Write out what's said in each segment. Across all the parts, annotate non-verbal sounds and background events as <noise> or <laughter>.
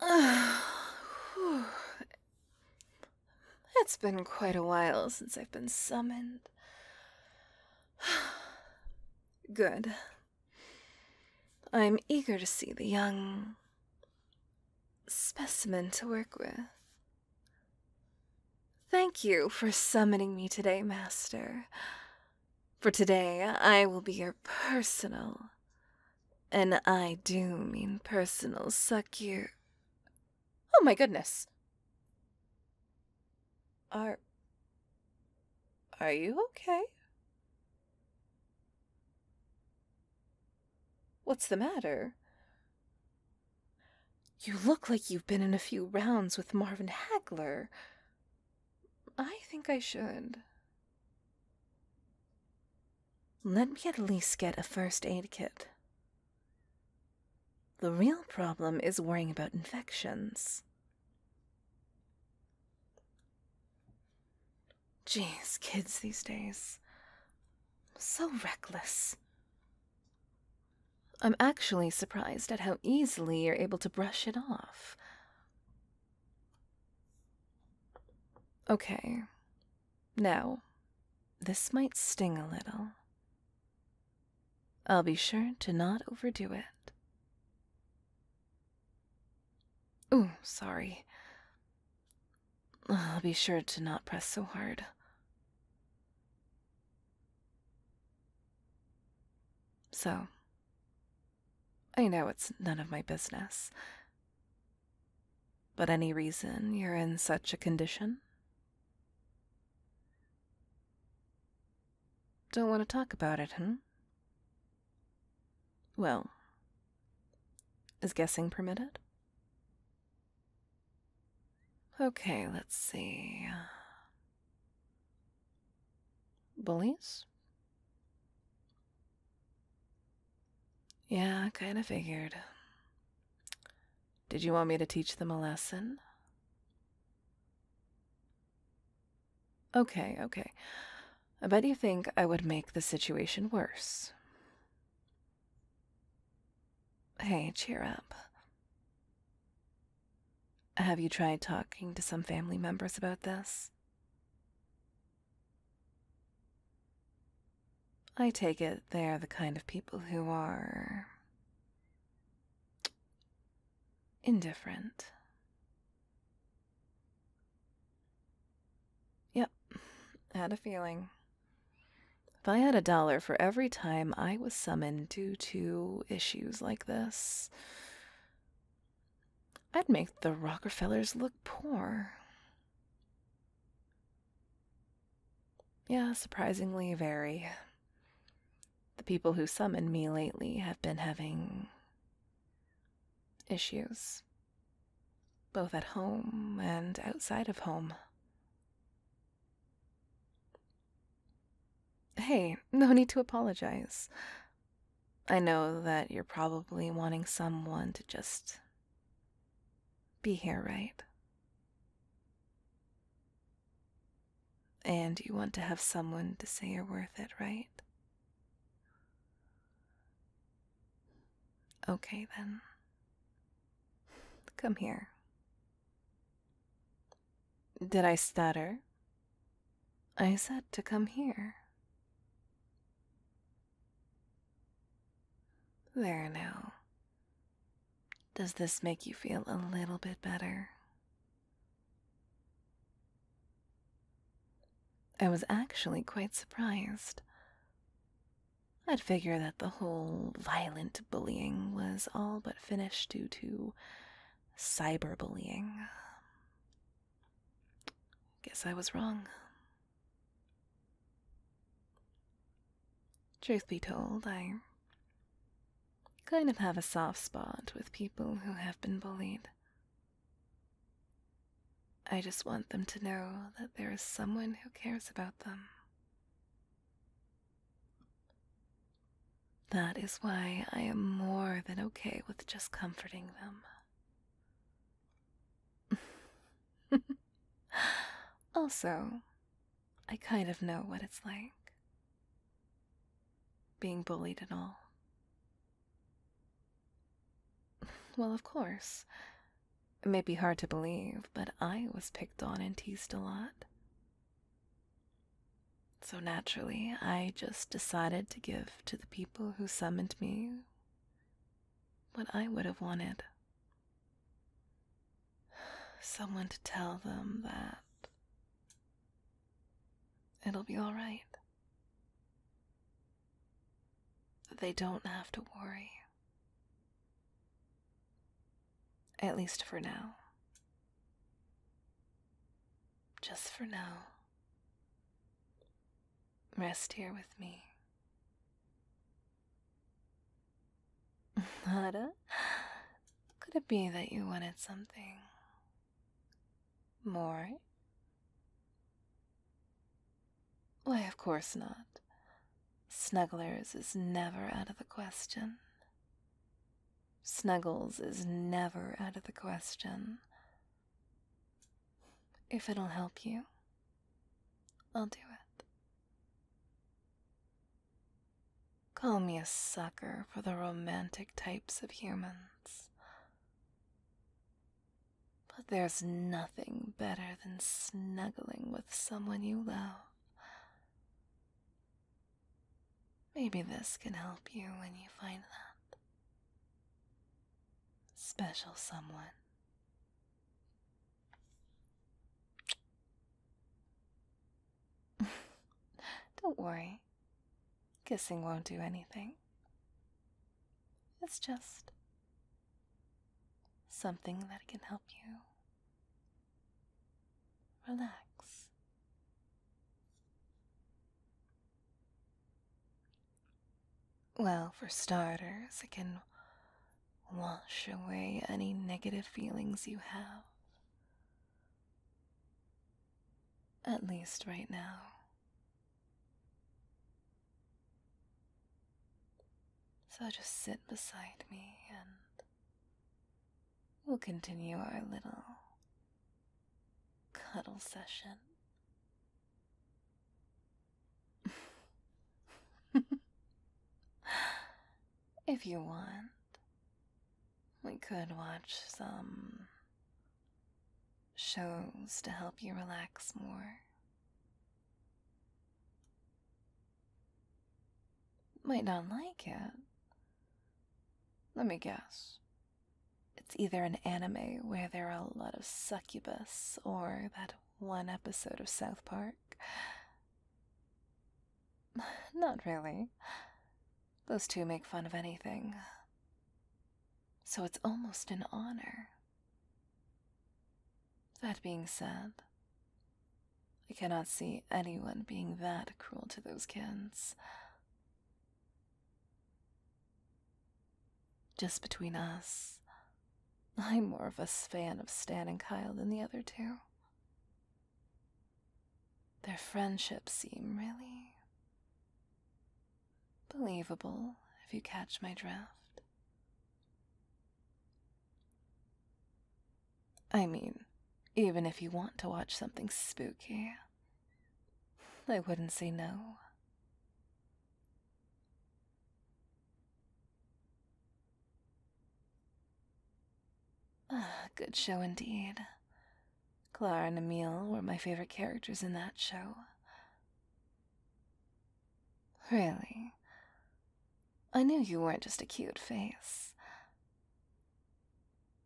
<sighs> It's been quite a while since I've been summoned. <sighs> Good. I am eager to see the young specimen to work with. Thank you for summoning me today, Master. For today, I will be your personal, and I do mean personal, suck you. Oh my goodness. Are. Are you okay? What's the matter? You look like you've been in a few rounds with Marvin Hagler. I think I should. Let me at least get a first aid kit. The real problem is worrying about infections. Jeez, kids these days. So reckless. I'm actually surprised at how easily you're able to brush it off. Okay. Now, this might sting a little. I'll be sure to not overdo it. Oh, sorry. I'll be sure to not press so hard. So, I know it's none of my business. But any reason you're in such a condition? Don't want to talk about it, huh? Hmm? Well, is guessing permitted? Okay, let's see. Bullies? Yeah, kind of figured. Did you want me to teach them a lesson? Okay, okay. I bet you think I would make the situation worse. Hey, cheer up. Have you tried talking to some family members about this? I take it they're the kind of people who are indifferent. Yep, I had a feeling. If I had a dollar for every time I was summoned due to issues like this, I'd make the Rockefellers look poor. Yeah, surprisingly, very the people who summoned me lately have been having issues, both at home and outside of home. Hey, no need to apologize. I know that you're probably wanting someone to just be here, right? And you want to have someone to say you're worth it, right? Okay, then. Come here. Did I stutter? I said to come here. There now. Does this make you feel a little bit better? I was actually quite surprised. I'd figure that the whole violent bullying was all but finished due to cyberbullying. Guess I was wrong. Truth be told, I kind of have a soft spot with people who have been bullied. I just want them to know that there is someone who cares about them. That is why I am more than okay with just comforting them. <laughs> also, I kind of know what it's like being bullied and all. <laughs> Well, of course. It may be hard to believe, but I was picked on and teased a lot. So naturally, I just decided to give to the people who summoned me what I would have wanted <sighs> someone to tell them that It'll be alright. They don't have to worry. At least for now. Just for now. Rest here with me. <laughs> Nada. Could it be that you wanted something more? Why, of course not. Snugglers is never out of the question. Snuggles is never out of the question. If it'll help you, I'll do it. Call me a sucker for the romantic types of humans. But there's nothing better than snuggling with someone you love. Maybe this can help you when you find that special someone. <laughs> Don't worry. Kissing won't do anything. It's just something that can help you relax. Well, for starters, it can wash away any negative feelings you have at least right now. So just sit beside me and we'll continue our little cuddle session. <laughs> if you want. We could watch some shows to help you relax more. Might not like it. Let me guess. It's either an anime where there are a lot of succubus or that one episode of South Park. <sighs> Not really. Those two make fun of anything. So it's almost an honor. That being said, I cannot see anyone being that cruel to those kids. Just between us, I'm more of a fan of Stan and Kyle than the other two. Their friendship seem really believable, if you catch my drift. I mean, even if you want to watch something spooky, I wouldn't say no. Ah, good show indeed. Clara and Emil were my favorite characters in that show. Really? I knew you weren't just a cute face.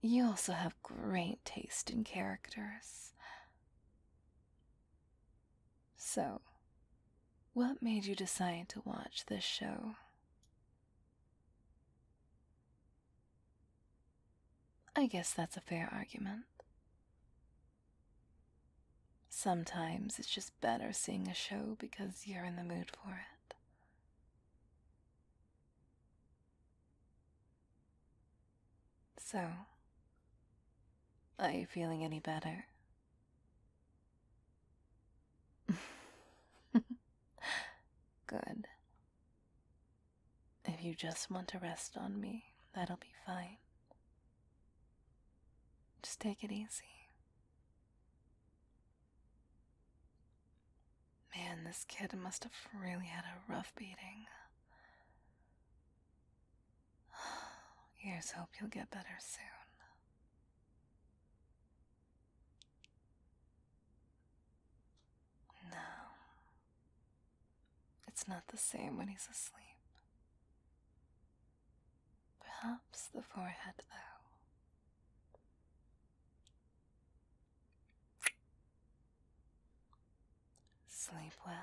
You also have great taste in characters. So, what made you decide to watch this show? I guess that's a fair argument. Sometimes it's just better seeing a show because you're in the mood for it. So, are you feeling any better? <laughs> Good. If you just want to rest on me, that'll be fine. Just take it easy. Man, this kid must have really had a rough beating. Here's <sighs> hope you'll get better soon. No. It's not the same when he's asleep. Perhaps the forehead, though. Sleep well.